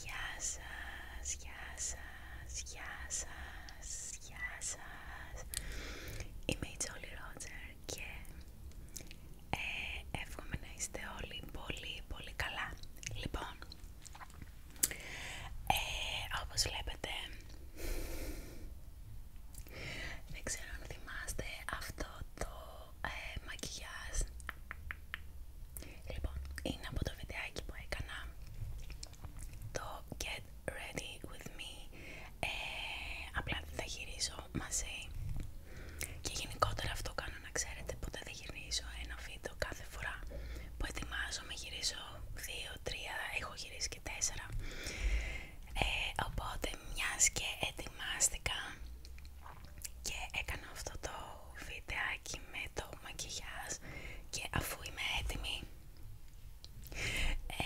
Γεια σας, γεια σας, γεια σας, γεια σας Είμαι η Τζόλι Ρότζερ και ε, εύχομαι να είστε όλοι πολύ πολύ καλά Λοιπόν, ε, όπως βλέπετε δεν ξέρω αν θυμάστε αυτό το ε, μακιγιάζ. Λοιπόν, είναι από το βιντεάκι που έκανα το Get Ready With Me. Ε, απλά δεν θα γυρίζω μαζί. Και γενικότερα αυτό κάνω να ξέρετε, ποτέ δεν γυρίζω ένα βίντεο κάθε φορά που ετοιμάζομαι, γυρίζω 2, 3, έχω γυρίσει και 4. Ε, οπότε μιας και ετοιμάστηκα και έκανα αυτό το βιντεάκι με το μακιγιάζ και αφού είμαι έτοιμη ε,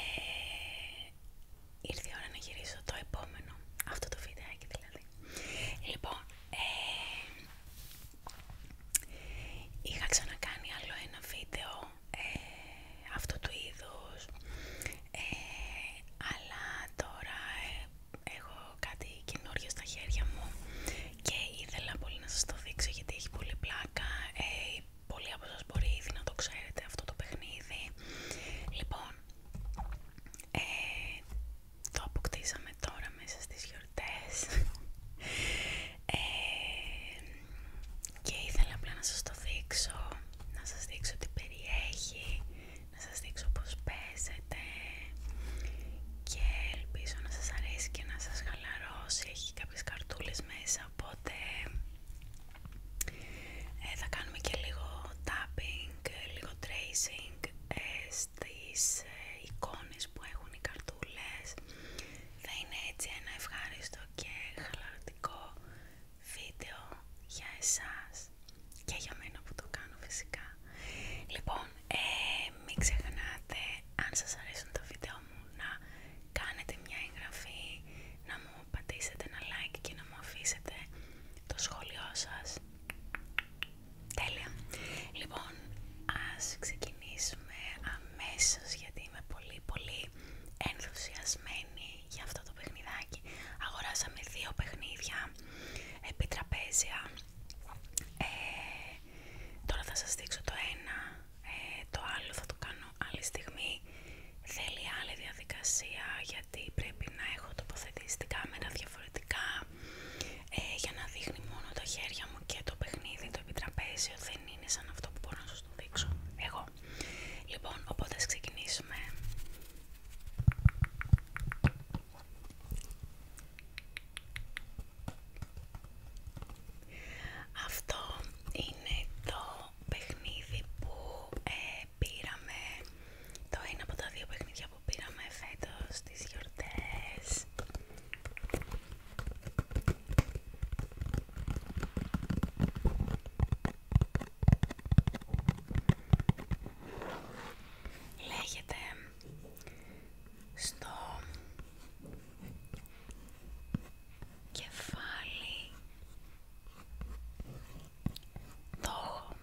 ήρθε η ώρα να γυρίσω το επόμενο αυτό το βιντεάκι δηλαδή λοιπόν ε, είχα ξανακάνει άλλο ένα βίντεο αυτό ε, αυτού του είδους αλλά τώρα έχω κάτι καινούριο στα χέρια μου και ήθελα πολύ να σας το δείξω γιατί έχει πολύ πλάκα ε, πολλοί από μπορεί ήδη να το ξέρετε αυτό το παιχνίδι λοιπόν ε, το αποκτήσαμε τώρα μέσα στις γιορτές ε, και ήθελα απλά να σας το δείξω να σας δείξω τι περιέχει να σας δείξω πως παίζεται και ελπίζω να σας αρέσει και να σας χαλαρώσει έχει κάποιες καρτούλες μέσα οπότε ε, θα κάνουμε και λίγο tapping, λίγο tracing στι ε, στις ε, εικόνες που έχουν οι καρτούλες θα είναι έτσι ένα ευχάριστο και χαλαρωτικό βίντεο για εσάς και για μένα που το κάνω φυσικά. Λοιπόν, ε, μην ξεχνάτε αν σας αρέσουν τα βίντεο μου να κάνετε μια εγγραφή, να μου πατήσετε ένα like και να μου αφήσετε το σχόλιο σας. Τέλεια. Λοιπόν, ας ξεκινήσουμε αμέσως γιατί είμαι πολύ πολύ ενθουσιασμένη για αυτό το παιχνιδάκι. Αγοράσαμε δύο παιχνίδια επί τραπέζια ε, τώρα θα σας δείξω το ένα, ε, το άλλο θα το κάνω άλλη στιγμή. Θέλει άλλη διαδικασία γιατί πρέπει να έχω τοποθετήσει την κάμερα διαφορετικά ε, για να δείχνει μόνο τα χέρια μου και το παιχνίδι, το επιτραπέζιο δεν είναι σαν αυτό που μπορώ να σας το δείξω εγώ. Λοιπόν, οπότε ας ξεκινήσουμε. Αυτό είναι το παιχνίδι που ε, πήραμε, το ένα από τα δύο παιχνίδια που πήραμε φέτος στις γιορτές. Λέγεται στο κεφάλι το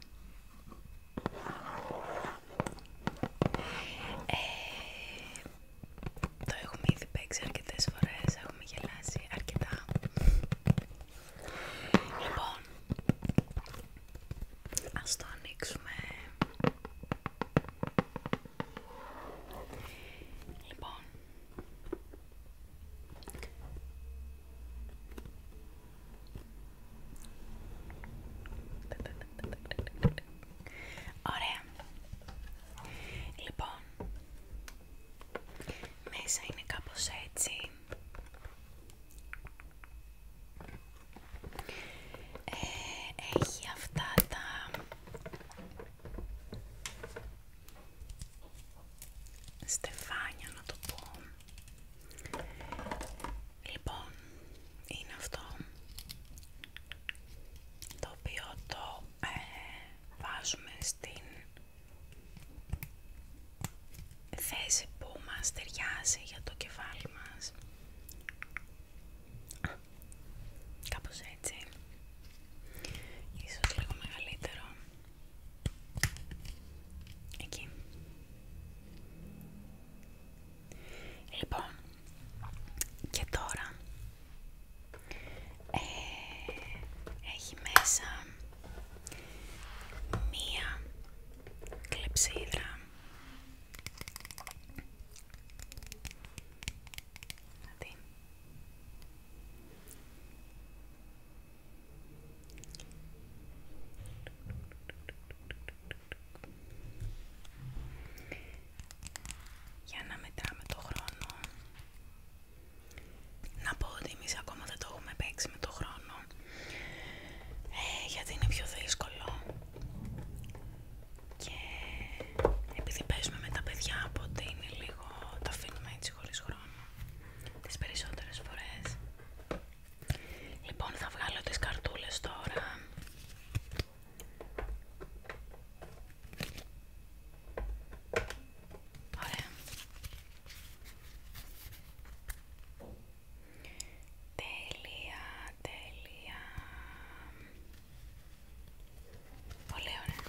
ε, το έχουμε ήδη παίξει αρκετές φορές, έχουμε γελάσει αρκετά. Λοιπόν, Ας το ανοίξουμε. Λοιπόν. Ωραία. Λοιπόν, μέσα είναι κάπως έτσι. Ε, έχει αυτά τα στεφάνια να το πω. Λοιπόν, είναι αυτό το οποίο το ε, βάζουμε στην θέση που μας ταιριάζει για το κεφάλι μας Κάπω κάπως έτσι. Ίσως λίγο μεγαλύτερο. Εκεί. Λοιπόν, και τώρα ε, έχει μέσα μία κλεψίδρα για να μετράμε το χρόνο. Να πω ότι εμείς ακόμα δεν το έχουμε παίξει με το χρόνο. Ε, γιατί είναι πιο δύσκολο και επειδή παίζουμε με τα παιδιά οπότε είναι λίγο τα αφήνουμε έτσι χωρίς χρόνο τις περισσότερες φορές λοιπόν θα βγάλω τις καρτούλες τώρα Ωραία. Τέλεια, τέλεια. Πολύ ωραία.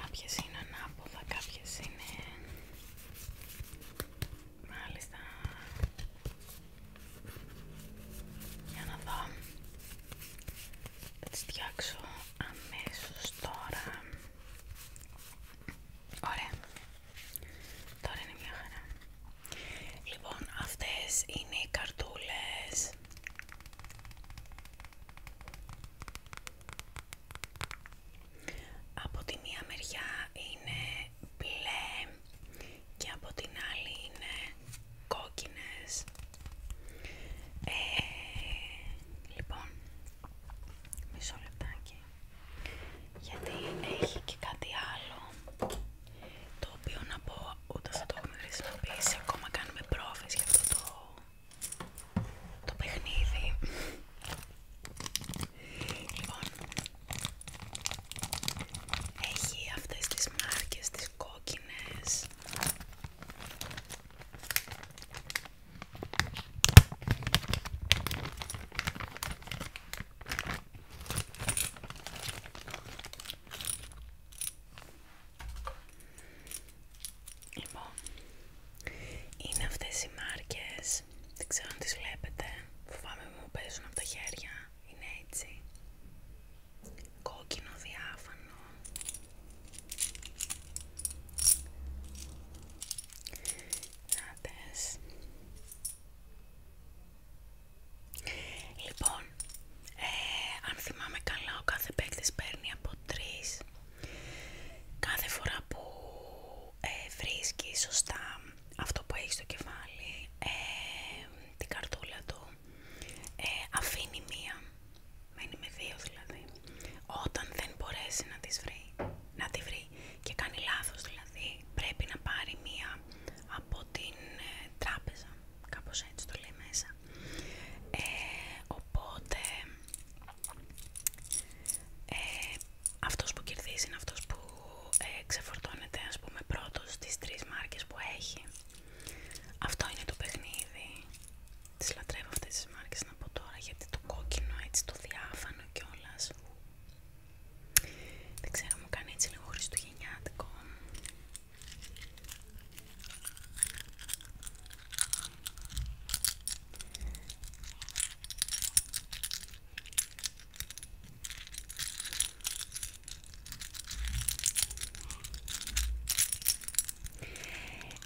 Κάποιες είναι ανάποδα, κάποιες είναι... Μάλιστα. Για να δω. Θα τις φτιάξω αμέσως τώρα. Ωραία. Τώρα είναι μια χαρά. Λοιπόν, αυτές είναι οι καρτούλες. Από τη μία μεριά είναι μπλε και από την άλλη είναι κόκκινες. Ε, λοιπόν, μισό λεπτάκι γιατί έχει και κάτι άλλο το οποίο να πω ούτε θα το έχουμε χρησιμοποιήσει ακόμα κάνουμε πρόβες για αυτό το, το παιχνίδι λοιπόν έχει αυτές τις μάρκες τις κόκκινες Λοιπόν, είναι αυτές οι μάρκες, δεν ξέρω αν τις βλέπετε, φοβάμαι μου παίζουν από τα χέρια, είναι έτσι, κόκκινο διάφανο. Νάτες. Λοιπόν, ε, αν θυμάμαι καλά, ο κάθε παίκτης παίρνει από τρεις. Κάθε φορά που ε, βρίσκει σωστά αυτό που έχει στο κεφάλι, ε, την καρτούλα του, αφήνει μία, μένει με δύο δηλαδή, όταν δεν μπορέσει να, τις να τη βρει και κάνει λάθος δηλαδή πρέπει να πάρει μία από την ε, τράπεζα κάπως έτσι το λέει μέσα ε, οπότε ε, αυτός που κερδίζει είναι αυτός που ξεφορτώνεται ας πούμε πρώτος στις τρεις μάρκες που έχει αυτό είναι το παιχνίδι τις λατρεύω αυτές τις μάρκες να πω τώρα γιατί το κόκκινο έτσι το διάφανο και όλας δεν ξέρω, μου κάνει έτσι λίγο χριστουγεννιάτικο.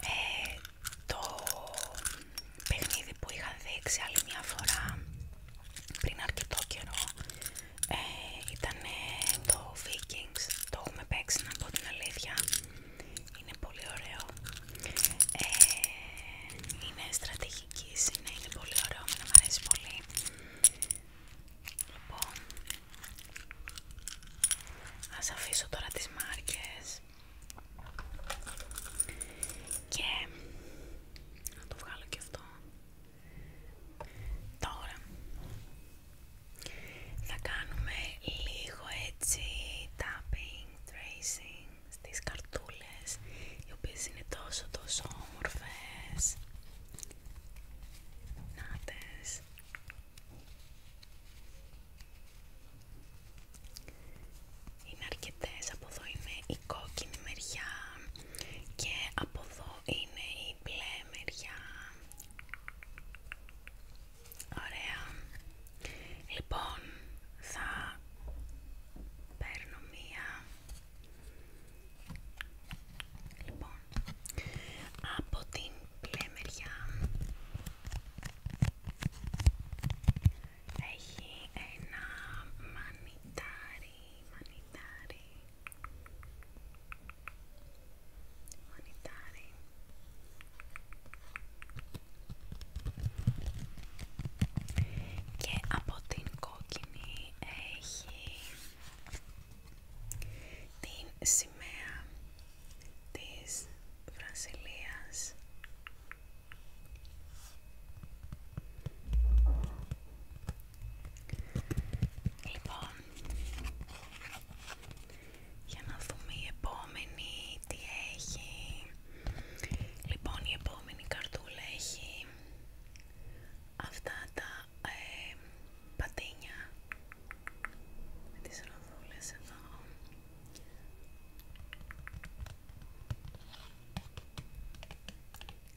Ε, το παιχνίδι που είχα δείξει άλλη μια φορά πριν αρκετό καιρό ε, ήταν το Vikings, το έχουμε παίξει να πω την αλήθεια, είναι πολύ ωραίο, ε, είναι στρατηγικής, είναι, είναι πολύ ωραίο, να μου αρέσει πολύ. Λοιπόν, ας αφήσω τώρα τις μάρκες και να το βγάλω και αυτό. Τώρα θα κάνουμε λίγο έτσι tapping, tracing στις καρτούλες οι οποίες είναι τόσο τόσο όμορφες. Νάτες. Είναι αρκετές, από εδώ είναι η κόκκινη μεριά, και από εδώ είναι η μπλε μεριά ωραία λοιπόν θα παίρνω μία λοιπόν από την μπλε μεριά έχει ένα μανιτάρι και από την κόκκινη έχει την σημαία της Βραζιλίας Λοιπόν, για να δούμε η επόμενη τι έχει. Λοιπόν, η επόμενη καρτούλα έχει αυτά τα ε, πατίνια με τις ροδούλες εδώ.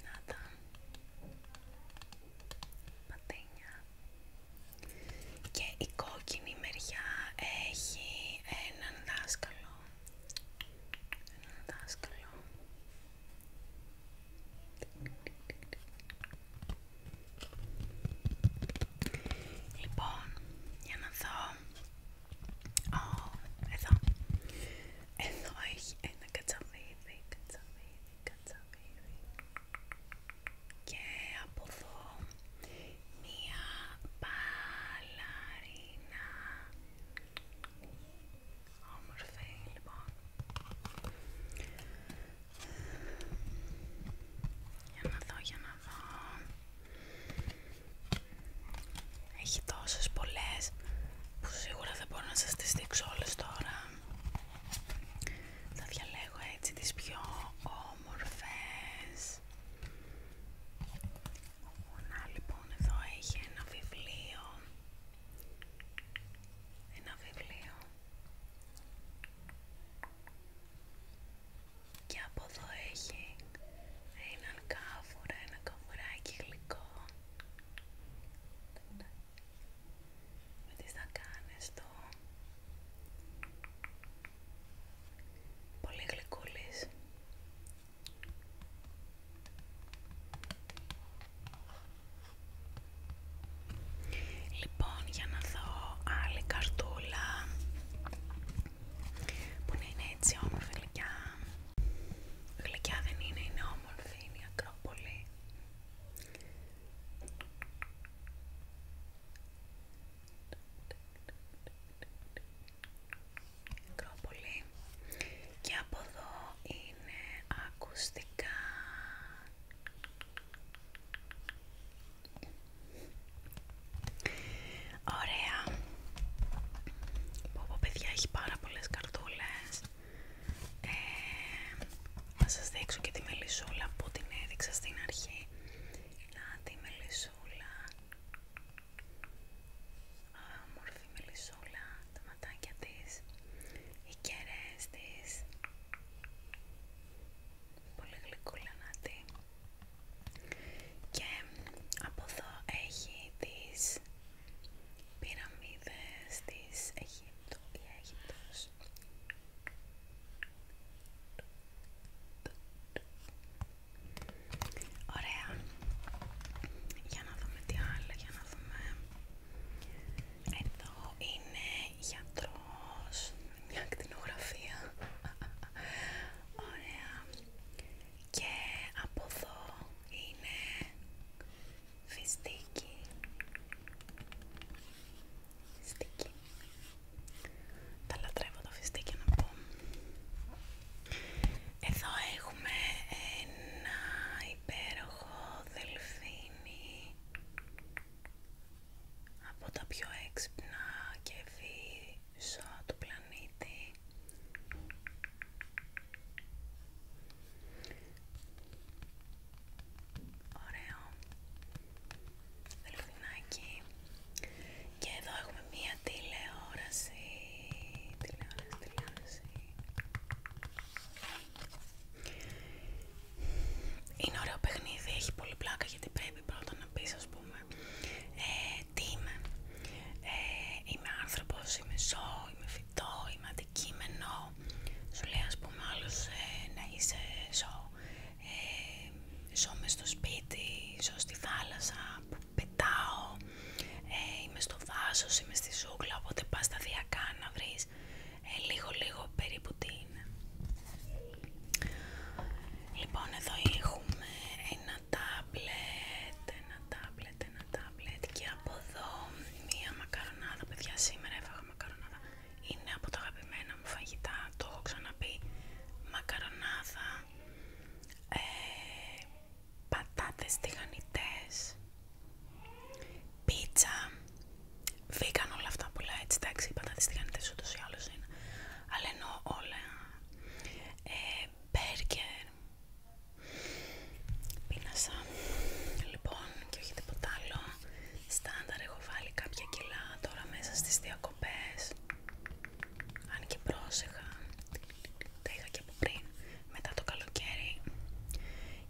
Να τα και η κόκκινη μεριά έχει έναν δάσκαλο έναν δάσκαλο Λοιπόν, για να δω... ό, εδώ. Εδώ έχει ένα κατσαβίδι κατσαβίδι κατσαβίδι και από εδώ μία μπαλαρίνα όμορφη λοιπόν για να δω, για να δω έχει τόσες πολλές που σίγουρα δεν μπορώ να σας τις δείξω όλες τώρα θα διαλέγω έτσι τις πιο όμορφες να λοιπόν εδώ έχει ένα βιβλίο ένα βιβλίο και από εδώ έχει έναν κάφορα, ένα καβουράκι γλυκό με τις δακάνες το πολύ γλυκούλης Λοιπόν, για να δω άλλη καρτούλα που είναι έτσι όμορφη Γλυκιά δεν είναι, είναι όμορφη, είναι η Ακρόπολη. Ακρόπολη. Και από εδώ είναι ακουστικά. Ωραία. Πω πω παιδιά έχει πάρα πολλές καρτούλες. Ε, να δείξω και τη μελισσούλα που την έδειξα στην αρχή να τη μελισσούλα όμορφη μελισσούλα τα ματάκια της οι κεραίες της πολύ γλυκούλα να τη και από εδώ έχει τις πυραμίδες της Αιγύπτου η Αίγυπτος Ωραία για να δούμε τι άλλο, για να δούμε εδώ είναι γιατρός μια κτηνογραφία Ωραία και από εδώ είναι φιστίκι φιστίκι τα λατρεύω το φιστίκι να πω εδώ έχουμε ένα υπέροχο δελφίνι από τα πιο έξυπνα και ευφύ του πλανήτη Ωραίο Δελφινάκι Και εδώ έχουμε μία τηλεόραση Τηλεόραση, τηλεόραση Είναι ωραίο παιχνίδι, έχει πολύ πλάκα γιατί πρέπει πρώτα να πεις ας πούμε ε, Τι είμαι ε, Είμαι άνθρωπος, είμαι ζώο, είμαι φυτό, είμαι αντικείμενο σου λέει ας πούμε ε, να είσαι ε, σώμα στο σπίτι, ζω στη θάλασσα, που πετάω, ε, είμαι στο βάσος, είμαι στη ζούγκλα, οπότε πας σταδιακά να βρεις λίγο λίγο περίπου τι είναι. Λοιπόν εδώ έχουμε ένα τάμπλετ, ένα τάμπλετ, ένα τάμπλετ και από εδώ μία μακαρονάδα. Παιδιά, σήμερα έφαγα μακαρονάδα. Είναι από τα αγαπημένα μου φαγητά, το έχω ξαναπεί. Μακαρονάδα, πατάτε πατάτες τηγανιτές, πίτσα. Βήκαν όλα αυτά πολλά έτσι, εντάξει, οι πατάτες τηγανιτές ούτως ή άλλως είναι. Αλλά εννοώ όλα. Ε, Πίνασα, λοιπόν, και όχι τίποτα άλλο. Στάνταρ έχω βάλει κάποια κιλά τώρα μέσα στις διακοπές. Αν και πρόσεχα, τα είχα και από πριν, μετά το καλοκαίρι.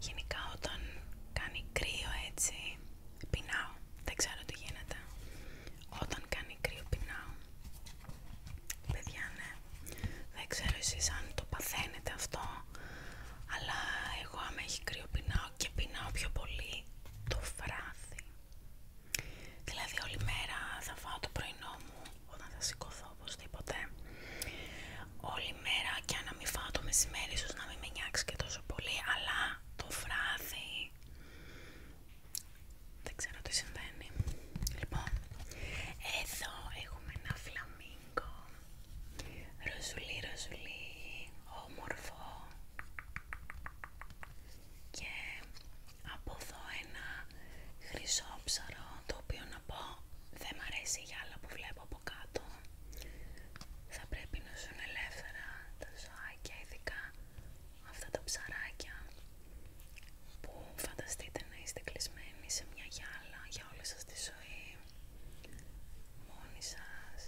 Γενικά όταν κάνει κρύο έτσι, πεινάω. Δεν ξέρω τι γίνεται. Όταν κάνει κρύο πεινάω. Παιδιά, ναι. Δεν ξέρω εσείς αν το παθαίνετε αυτό, αλλά εγώ άμα έχει κρύο και πεινάω πιο πολύ το φράθι. Δηλαδή όλη μέρα θα φάω το πρωινό μου όταν θα σηκωθώ οπωσδήποτε. Όλη μέρα και αν μην φάω το μεσημέρι ίσως να μην με και τόσο πολύ, αλλά το βράδυ δεν ξέρω τι συμβαίνει. Λοιπόν, εδώ έχουμε ένα φλαμί Ροζουλή, ροζουλί όμορφο και από εδώ ένα χρυσόψαρο το οποίο να πω δεν μ' αρέσει η γυάλα που βλέπω από κάτω θα πρέπει να ζουν ελεύθερα τα ζωάκια ειδικά αυτά τα ψαράκια που φανταστείτε να είστε κλεισμένοι σε μια γυάλα για όλη σα τη ζωή μόνοι σας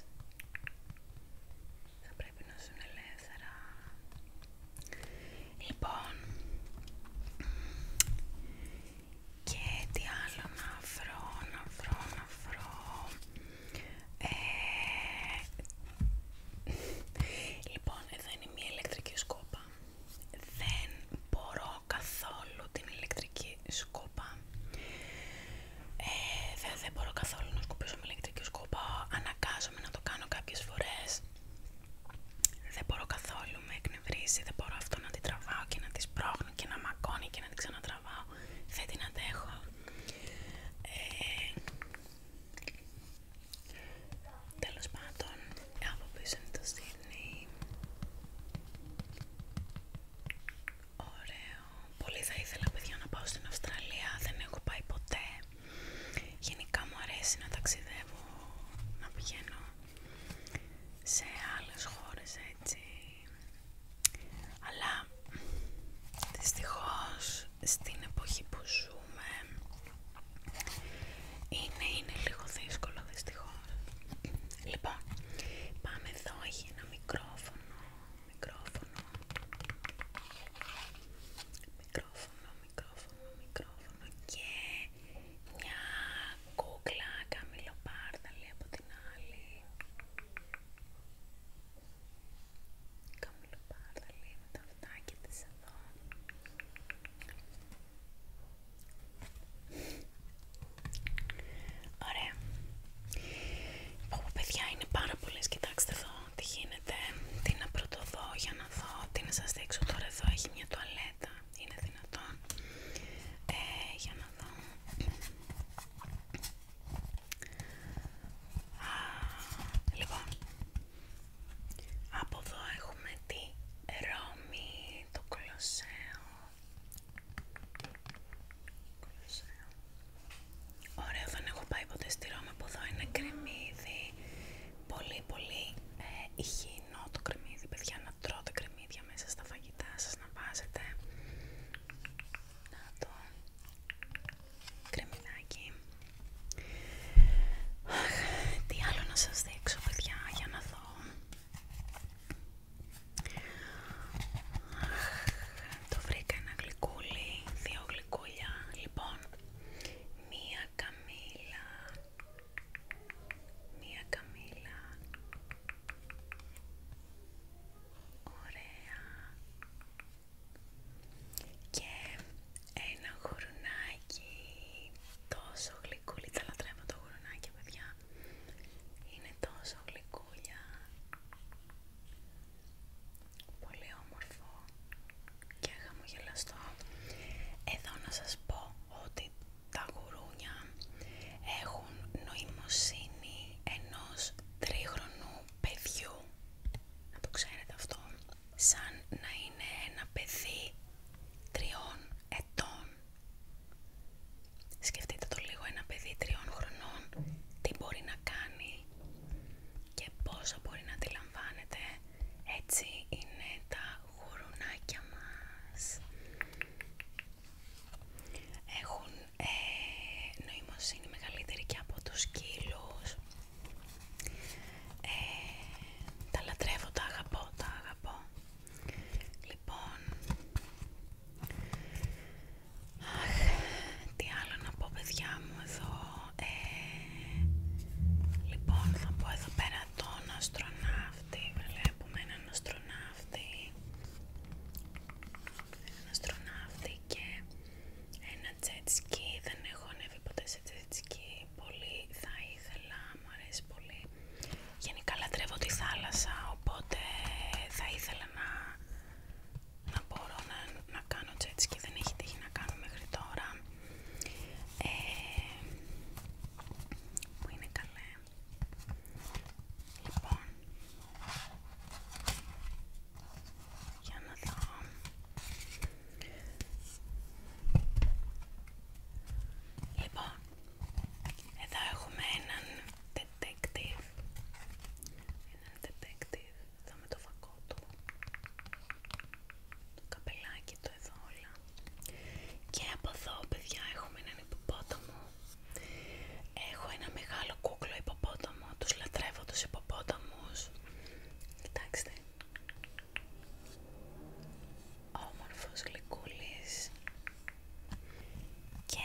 θα πρέπει να ζουν ελεύθερα λοιπόν και τι άλλο να βρω να βρω να βρω ε, λοιπόν εδώ είναι μια ηλεκτρική σκόπα δεν μπορώ καθόλου την ηλεκτρική σκούπα. Ε, δεν, μπορώ καθόλου να σκουπίσω με ηλεκτρική σκούπα. Αναγκάζομαι να το κάνω κάποιες φορές. Δεν μπορώ καθόλου, με εκνευρίσει, Δεν μπορώ αυτό να την τραβάω και να τη σπρώχνω και να μακώνει και να την ξανατραβάω. Δεν την αντέχω. Ε, τέλος πάντων, από πίσω το Sydney Ωραίο. Πολύ θα ήθελα παιδιά να πάω στην Αυστραλία. Δεν έχω πάει ποτέ. Γενικά μου αρέσει να ταξιδεύω, να πηγαίνω σε άλλες χώρες έτσι. Αλλά δυστυχώς στην εποχή που ζούμε είναι, είναι λίγο δύσκολο δυστυχώς. Λοιπόν, πάμε εδώ, έχει ένα μικρόφωνο, μικρόφωνο, μικρόφωνο, μικρόφωνο, μικρόφωνο και μια κούκλα καμιλοπάρδαλη από την άλλη. Καμιλοπάρδαλη με τα αυτάκια της εδώ. Ωραία. Πω παιδιά είναι πάρα πολλές, κοιτάξτε εδώ τι γίνεται, τι να πρωτοδώ για να δω, τι να σας δείξω τώρα εδώ έχει μια τουαλέτα, είναι δυνατόν, ε, για να δω. λοιπόν, από εδώ έχουμε τη Ρώμη, το Κολοσσέο, Ωραία, δεν έχω πάει ποτέ στη Ρώμη που είναι κρεμμύδι. Πολύ πολύ υγιεινό το κρεμμύδι, παιδιά, να τρώτε κρεμμύδια μέσα στα φαγητά σας, να βάζετε. Να το κρεμμυδάκι. τι άλλο να σας δείξω, παιδιά, για να δω. Το βρήκα ένα γλυκούλι, δύο γλυκούλια. Λοιπόν, μία καμίλα, μία καμίλα. Ωραία. Και ένα γουρνάκι, τόσο γλυκούλι, τα λατρεύω το γουρνάκι, παιδιά. Είναι τόσο γλυκούλια. Πολύ όμορφο και χαμογελαστό. Εδώ να σας πω ότι τα γουρούνια έχουν νοημοσύνη ενός τρίχρονου παιδιού. Να το ξέρετε αυτό. Σαν να είναι ένα παιδί τριών ετών. Σκεφτείτε το λίγο ένα παιδί τριών χρονών, τι μπορεί να κάνει και πόσο μπορεί να αντιλαμβάνεται. Έτσι είναι τα γουρουνάκια μας. Έχουν ε, νοημοσύνη μεγαλύτερη και από τους σκύλους. Ε, τα λατρεύω, τα αγαπώ, τα αγαπώ. Λοιπόν, αχ, τι άλλο να πω παιδιά μου εδώ, ε, λοιπόν θα πω εδώ πέρα τον αστροναύτη, βλέπουμε έναν αστροναύτη, έναν αστροναύτη και ένα jet δεν έχω ανέβει ποτέ σε jet πολύ θα ήθελα, μου αρέσει πολύ Γενικά λατρεύω τη θάλασσα, οπότε θα ήθελα να, να μπορώ να, κάνω τζέτς και δεν έχει τύχει να κάνω μέχρι τώρα. Ε, που είναι καλέ. Λοιπόν, για να δω. Λοιπόν, εδώ έχουμε έναν detective. Ένα detective. Εδώ με το φακό του. Το καπελάκι του εδώ όλα. Και από εδώ παιδιά έχουμε έναν υποπότομο Έχω ένα μεγάλο κούκλο υποπότομο Τους λατρεύω τους υποπόταμους. Κοιτάξτε. Όμορφος γλυκούλης. Και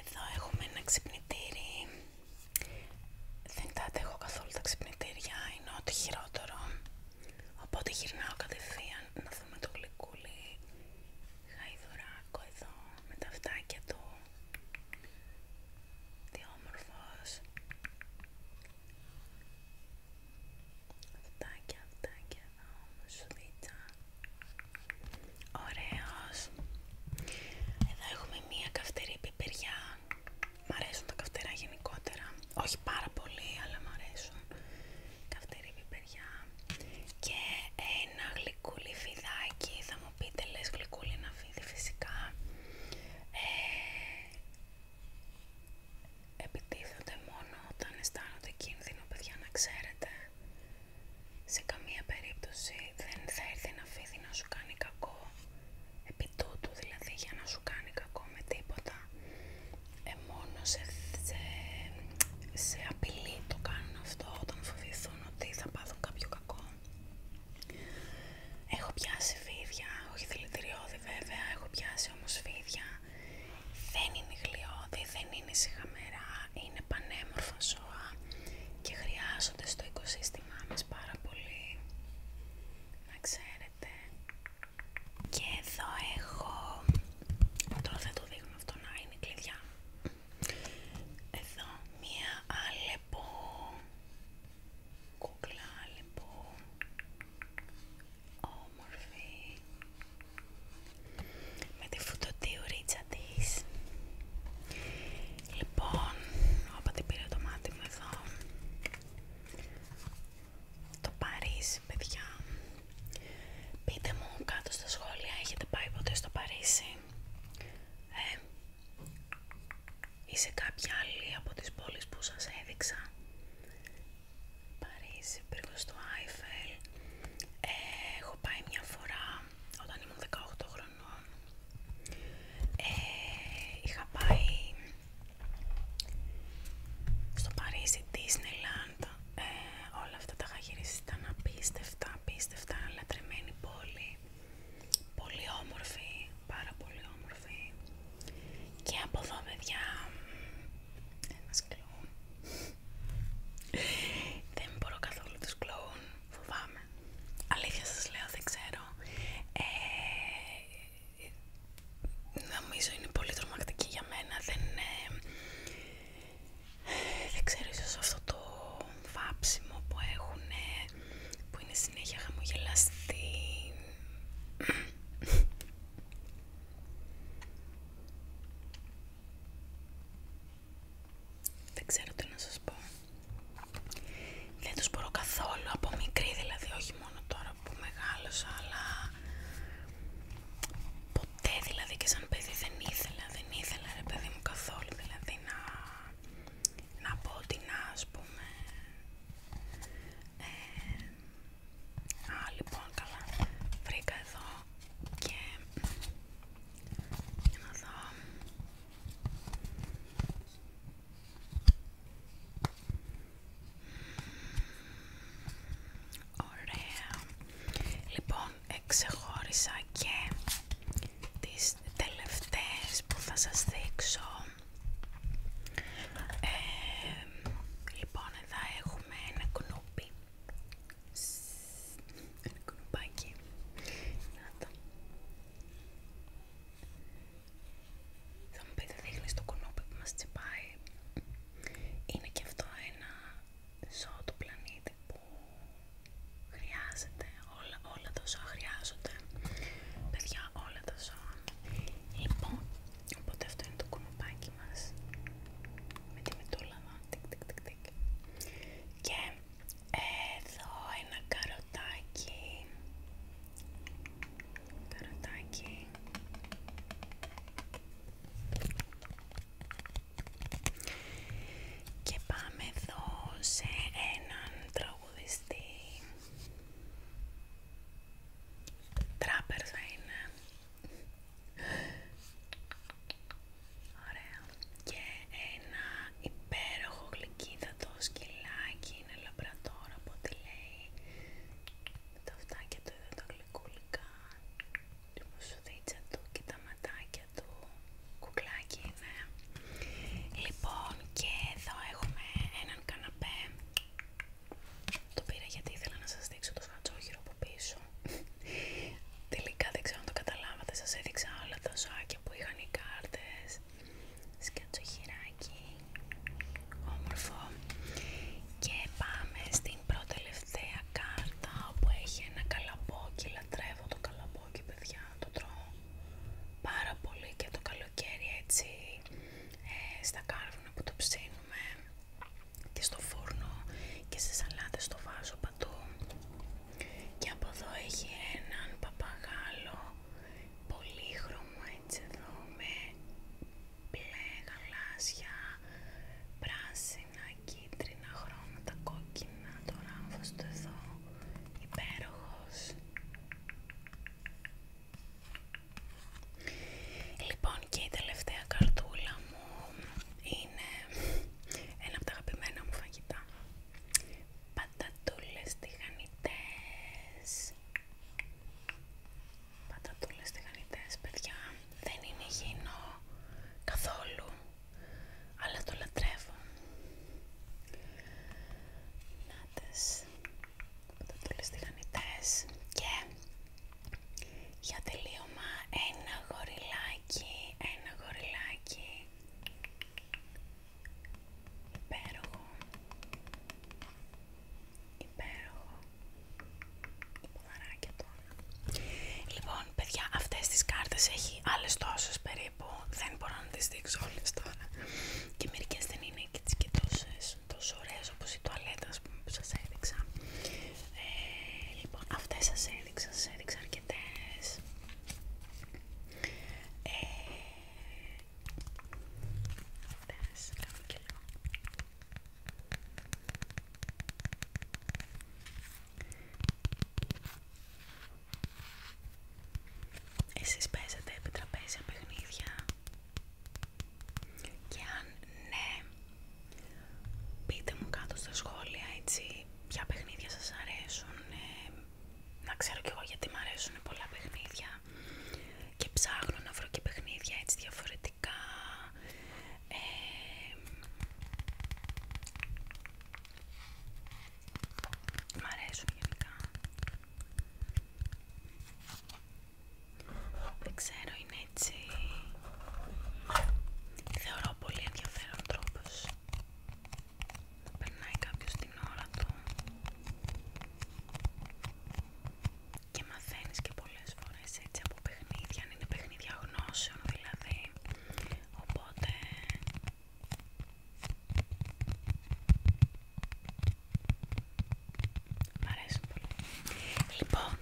εδώ έχουμε ένα ξυπνητήρι. Δεν τα έχω καθόλου τα ξυπνητήρια, είναι ό,τι χειρότερο. Οπότε γυρνάω κατευθείαν να δούμε το γλυκούλι γαϊδουράκο εδώ με τα φτάκια του. Τι όμορφος. Φτάκια, φτάκια εδώ, Ωραίος. Εδώ έχουμε μία καυτερή πιπεριά. Μ' αρέσουν τα καυτερά γενικότερα. Όχι πάρα πολύ, αλλά μ' αρέσουν. Καυτερή πιπεριά. Και ένα γλυκούλι φιδάκι. Θα μου πείτε, λες γλυκούλι να φίδι φυσικά. Ε, μόνο όταν αισθάνονται κίνδυνο, παιδιά, να ξέρετε σε καμία περίπτωση δεν θα έρθει να φίδι να σου κάνει κακό επί δηλαδή για να σου κάνει κακό με τίποτα ε, μόνο σε, σε, απειλή το κάνουν αυτό όταν φοβηθούν ότι θα πάθουν κάποιο κακό έχω πιάσει φίδια, όχι δηλητηριώδη βέβαια έχω πιάσει όμως φίδια δεν είναι γλιώδη, δεν είναι σιγαμερά, είναι πανέμορφα ζώα και χρειάζονται στο οικοσύστημά μας πάρα πολύ, να ξέρετε. Και εδώ έχω, τώρα θα το δείχνω αυτό να είναι κλειδιά, εδώ μία άλλεπο κούκλα άλεπο, όμορφη, με τη φουτωτή ορίτσα της λοιπόν όποτε πήρα το μάτι μου εδώ το Παρίσι παιδιά πείτε μου κάτω στα σχόλια έχετε πάει ποτέ στο Παρίσι ε, ή σε κάποια άλλη από τις πόλεις που σας έδειξα Παρίσι, πύργος του Άιφελ ε, πάει μια φορά όταν ήμουν 18 χρονών ε, είχα πάει στο Παρίσι Disneyland ε, όλα αυτά τα είχα απίστευτα, απίστευτα λατρεμένη πόλη πολύ όμορφη, πάρα πολύ όμορφη και από εδώ παιδιά ένα δεν μπορώ καθόλου τους κλόουν, φοβάμαι. Αλήθεια σας λέω, δεν ξέρω. Ε, νομίζω είναι πολύ τρομακτική για μένα. Δεν, ε, δεν ξέρω, ίσως αυτό το βάψιμο που έχουν, ε, που είναι συνέχεια χαμογελαστή. Δεν ξέρω τι να σας πω. Δεν τους μπορώ καθόλου από μικρή, δηλαδή όχι μόνο τώρα που μεγάλωσα, αλλά ποτέ δηλαδή και σαν παιδί δεν ήθελα, δεν ήθελα ρε παιδί μου καθόλου δηλαδή να, πω ότι να ας πούμε. Ε, α, λοιπόν, καλά. Βρήκα εδώ και για Ωραία. Λοιπόν, εξεχώρισα και τις τελευταίες που θα σας δείξω. Ε, λοιπόν, εδώ έχουμε ένα κνούπι ένα κουνοπάκι! Να το. Θα μου πείτε δείχνει το κουνούπι που μας τσιπάει. Είναι και αυτό ένα ζώο του πλανήτη που χρειάζεται. Όλα, όλα τα ζώα χρειάζονται. Παιδιά, όλα τα ζώα. Λοιπόν, οπότε αυτό είναι το κουνοπάκι μας. Με τη μετούλα και εδώ ένα καροτάκι. Καροτάκι. Και πάμε εδώ σε έναν τραγουδιστή. Τράπερ είναι. Ωραία. Και ένα υπέροχο γλυκίδατο σκυλάκι είναι λαμπρατόρ από ό,τι λέει. Με τα φτάκια του τα γλυκούλικα. Την μουσουδίτσα του και τα ματάκια του. Κουκλάκι είναι. Λοιπόν, και εδώ έχουμε έναν καναπέ. Το πήρα γιατί ήθελα να σας δείξω το σκατσόχυρο από πίσω. Τελικά δεν ξέρω αν το καταλάβατε, σας έδειξα όλα τα ζωάκια που είχαν οι κάρτες χειράκι, όμορφο Και πάμε στην προτελευταία κάρτα που έχει ένα καλαμπόκι, λατρεύω το καλαμπόκι παιδιά, το τρώω πάρα πολύ και το καλοκαίρι έτσι ε, στα κάρβουνα που το ψήνουμε και στο φούρνο και σε σαλάτες το βάζω και από εδώ έχει έναν παπαγάλο πολύχρωμο έτσι εδώ με μπλε γαλάζια, πράσινα, κίτρινα χρώματα, κόκκινα, το ράμφος του εδώ, υπέροχος. Λοιπόν και η τελευταία καρτούλα μου είναι ένα από τα αγαπημένα μου φαγητά. Πατατούλες τηγανιτές. Πατατούλες τηγανιτές, παιδιά. Δεν είναι υγιεινό καθόλου, αλλά το λατρεύω. Νάτες, πατατούλες τηγανιτές και για τελείω ένα γοριλάκι, ένα γοριλάκι υπέροχο υπέροχο ποδαράκια τώρα λοιπόν παιδιά αυτές τις κάρτες έχει άλλες τόσες περίπου δεν μπορώ να τις δείξω όλες τώρα και μερικές δεν είναι και τις και τόσες τόσο ωραίες όπως η τουαλέτα που σας έδειξα ε, λοιπόν αυτές σας έδειξα, σας έδειξα αρκετές. Ε, αυτές, Εσείς παίζετε επί τραπέζια παιχνίδια και αν ναι, Πείτε μου κάτω στα σχόλια έτσι ποια παιχνίδια σας αρέσουν. Ε, να ξέρω κι εγώ γιατί μου αρέσουν πολλά παιχνίδια και ψάχνω να βρω και παιχνίδια έτσι διαφορετικά. Ε, μ' αρέσουν γενικά. Δεν ξέρω, είναι έτσι. Θεωρώ πολύ ενδιαφέρον τρόπος περνάει κάποιος την ώρα του και μαθαίνεις και πολλές φορές έτσι από παιχνίδια, αν είναι παιχνίδια γνώσεων δηλαδή οπότε Μ' αρέσει πολύ Λοιπόν,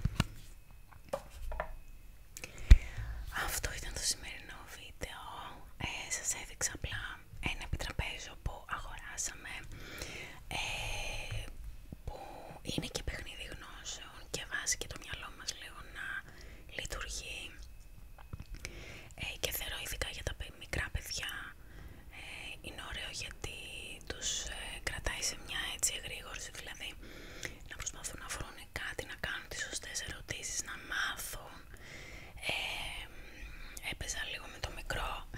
αυτό ήταν το σημερινό βίντεο. Σα ε, σας έδειξα απλά ένα επιτραπέζιο που αγοράσαμε ε, που είναι και παιχνίδι γνώσεων και βάζει και το μυαλό μας λίγο να λειτουργεί ε, και θεωρώ ειδικά για τα μικρά παιδιά είναι ωραίο γιατί τους κρατάει σε μια έτσι εγρήγορση δηλαδή να προσπαθούν να βρουν κάτι, να κάνω τις σωστές ερωτήσεις, να μάθουν. έπαιζα λίγο με το μικρό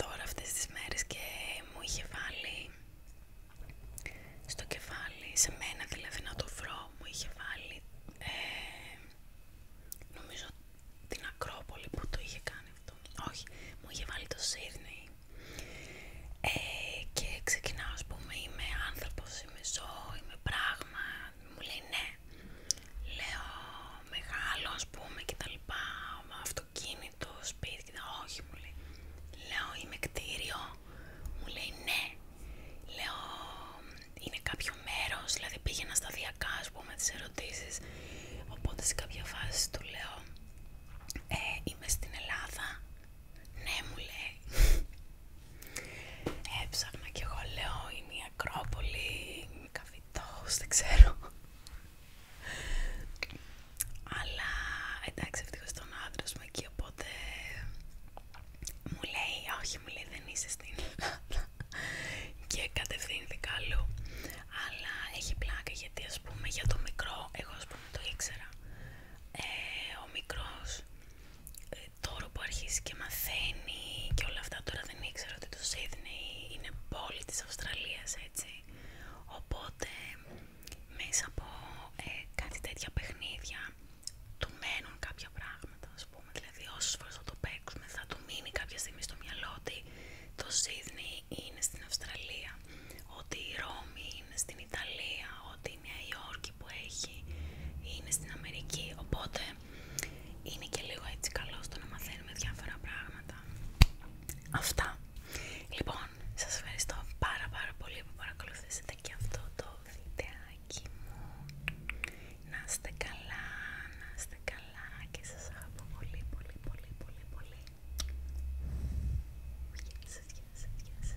τώρα αυτές τις μέρες και μου είχε βάλει στο κεφάλι, σε μένα δηλαδή να το βρω, μου είχε βάλει νομίζω την Ακρόπολη που το είχε κάνει αυτό, όχι, μου είχε βάλει το Σύρνη. Ε, και ξεκινάω, ας πούμε, είμαι άνθρωπος είμαι ζώο, είμαι πράγμα, μου λέει ναι. Λέω μεγάλο πούμε και τα λοιπά, αυτοκίνητο, σπίτι και τα όχι μου λέει. Λέω είμαι κτίριο, μου λέει ναι. Λέω είναι κάποιο μέρος, δηλαδή πήγαινα σταδιακά ας πούμε τις ερωτήσεις. Οπότε σε κάποια φάση του λέω ε, είμαι στην Ελλάδα. Ναι μου λέει. Έψαχνα και εγώ λέω είναι η Ακρόπολη, δεν ξέρω. Αλλά εντάξει ευτυχώς τον άντρα μου εκεί οπότε μου λέει όχι μου λέει δεν είσαι στην και κατευθύνθηκα αλλού. Αλλά έχει πλάκα γιατί ας πούμε για το μικρό, εγώ ας πούμε το ήξερα. Ε, ο μικρός τώρα που αρχίζει και μαθαίνει και όλα αυτά, τώρα δεν ήξερα ότι το Σίδνεϊ είναι πόλη της Αυστραλίας, έτσι. Οπότε, μέσα από ε, κάτι τέτοια παιχνίδια, του μένουν κάποια πράγματα, ας πούμε. Δηλαδή, όσες φορές θα το παίξουμε, θα του μείνει κάποια στιγμή στο μυαλό ότι το Σίδνεϊ είναι στην Αυστραλία, ότι η Ρώμη είναι στην Ιταλία, ότι η Νέα Υόρκη που έχει είναι στην Αμερική. Οπότε είναι και λίγο έτσι καλό στο να μαθαίνουμε διάφορα πράγματα. Αυτά. Λοιπόν, σας ευχαριστώ πάρα πάρα πολύ που παρακολουθήσατε και αυτό το βιντεάκι μου. Να είστε καλά, να είστε καλά και σας αγαπώ πολύ πολύ πολύ πολύ πολύ. Γεια σας,